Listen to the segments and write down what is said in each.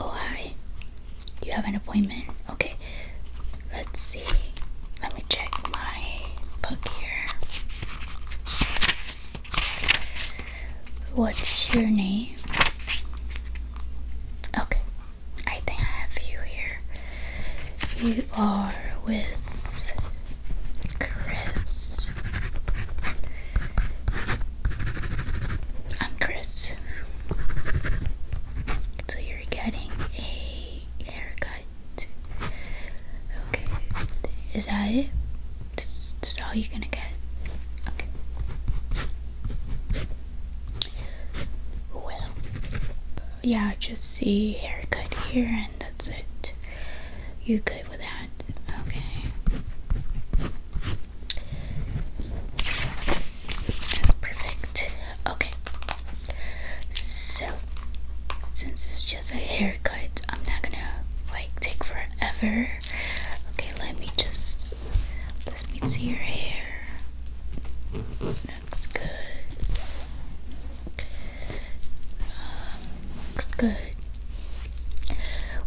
Oh, hi. You have an appointment? Okay. Let's see. Let me check my book here. What's your name? Okay. I think I have you here. You are with Chris. I'm Chris. So you're getting a haircut. Okay. Is that it? This, is all you're gonna get? Okay. Well, yeah, just see haircut here and that's it. You could with that. Okay. perfect. Okay. So, since it's just a haircut, I'm not gonna like take forever. Okay, let me just let me see your hair. That's good. Um, Looks good.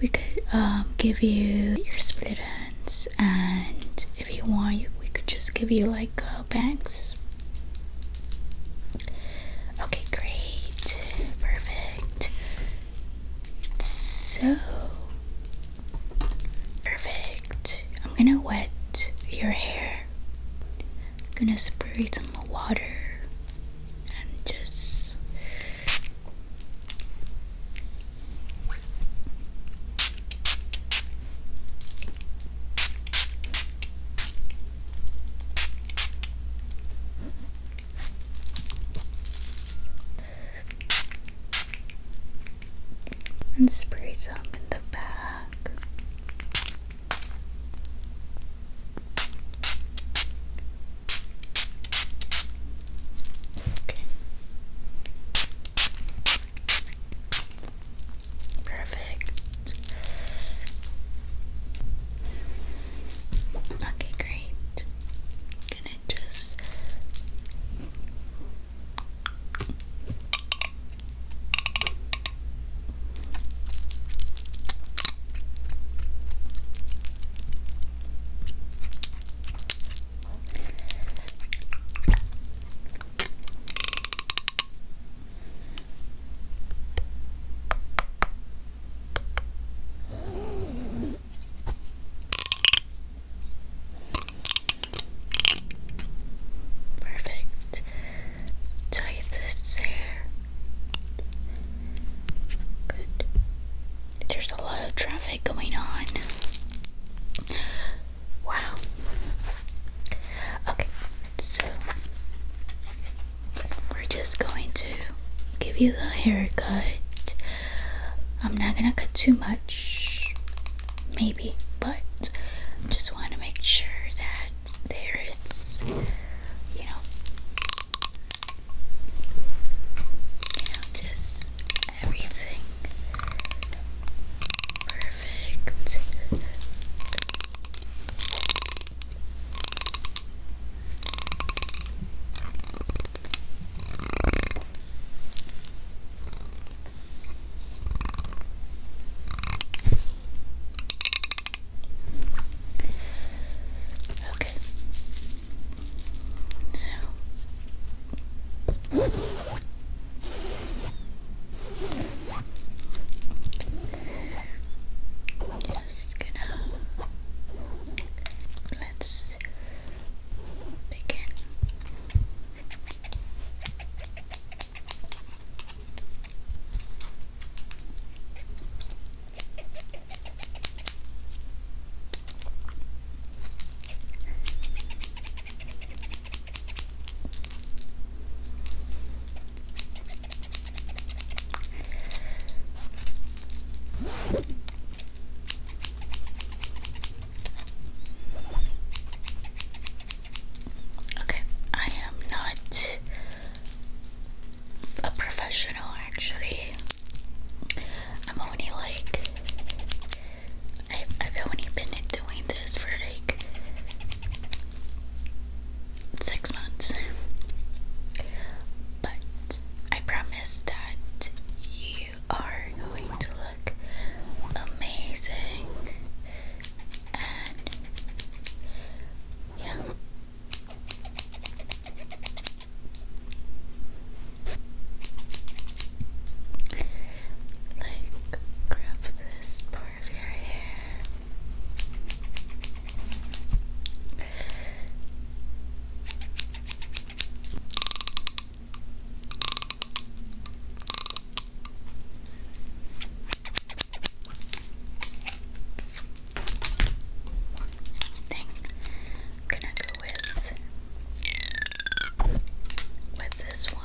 We could um, give you your split ends, and if you want, we could just give you like uh, bangs. Okay, great, perfect. So perfect. I'm gonna wet your hair. I'm gonna spray some water and just and spray some in the back. Okay. Perfect. Okay, great. gonna just Perfect. Tie this hair Good. There's a lot of traffic going on. Wow. Okay, so we're just going to give you the haircut. I'm not gonna cut too much, maybe, but just want to make sure that there it's, You know, just everything perfect. Okay. So. Just gonna let's begin. Okay, I am not a professional actually. I'm only like I have only been doing this for like six months. But I promise that you are going to look amazing and yeah like, grab this part of your hair thing. I'm gonna go with with this one.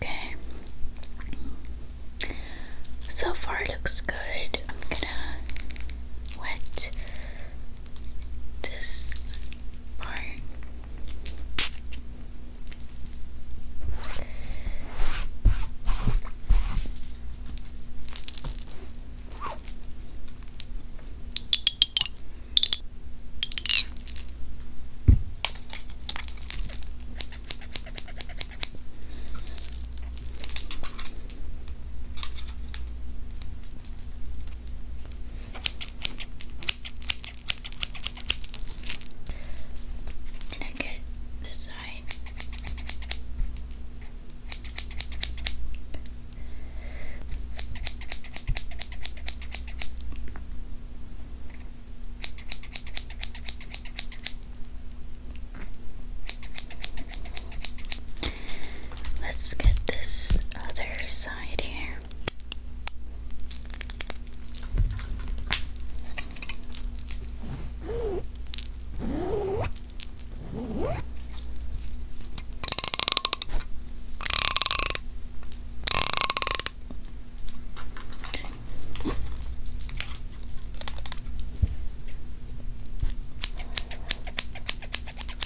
Okay. So far it looks good. I'm gonna wet this part. And I get this side. Let's get this other side here.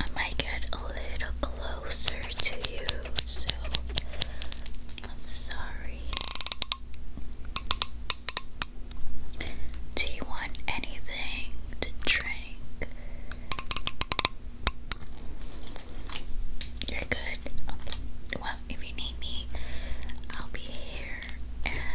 I might get a little closer to you so I'm sorry. Do you want anything to drink? You're good. Well, if you need me, I'll be here yeah.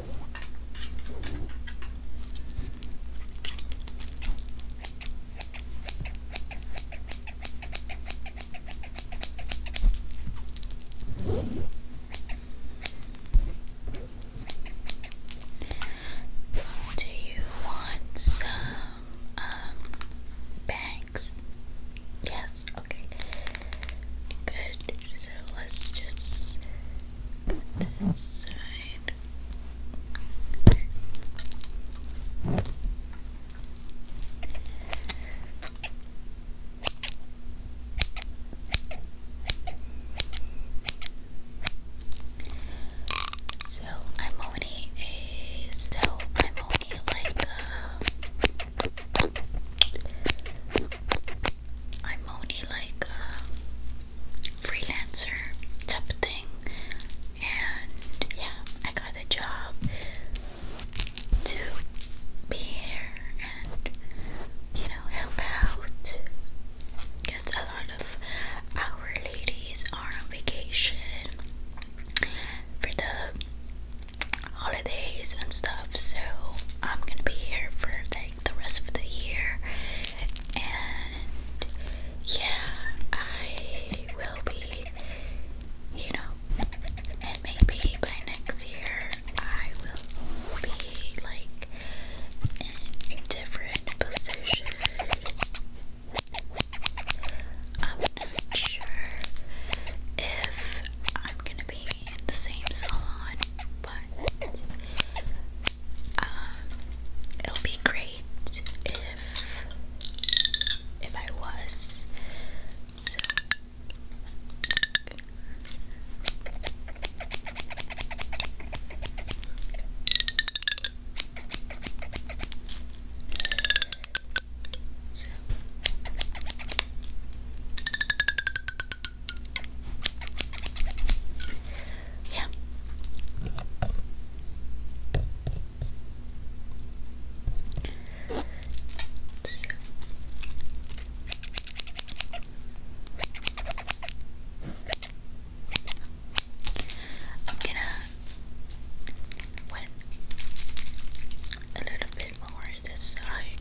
Do you want some um, bags? Yes, okay. Good. So let's just so I'm only a so I'm only like uh, I'm only like uh, freelancer type thing. And yeah, I got a job to be here and you know help out. Because a lot of our ladies are on vacation for the holidays and stuff, so I'm gonna be here for them the rest of the year. And yeah, I will be, you know, and maybe by next year I will be like in a different position. I'm not sure if I'm gonna be in the same salon, but want. Um, it would be great if if I was. So so yeah. So. I'm gonna wet a little bit more this side.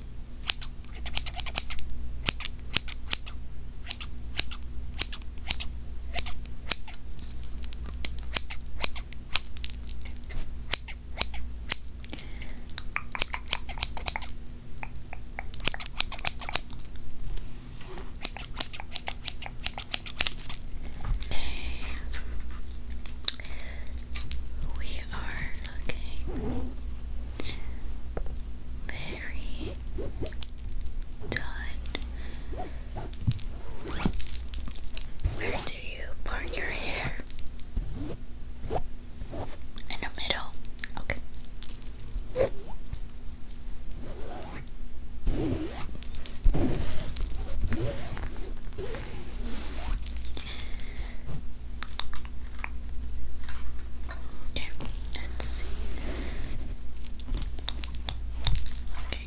We are looking very done. Where do you part your hair? In the middle. Okay. Okay, let's see. Okay. Okay.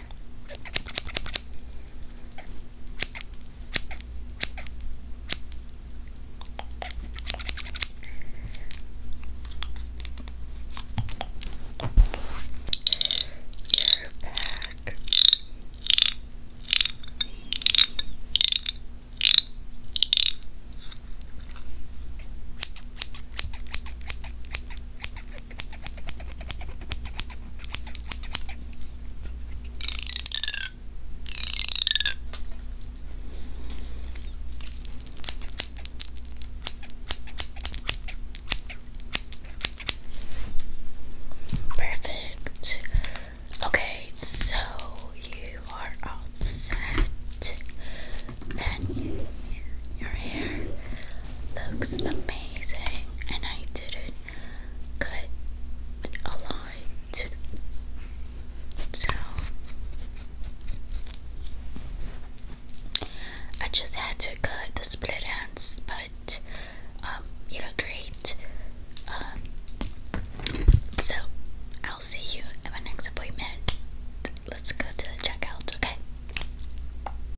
You're back. Perfect. Okay, so you are all and you, your hair looks amazing and I didn't cut a lot so I just had to cut the split ends but um you look great um so I'll see you at my next appointment let's go to the checkout okay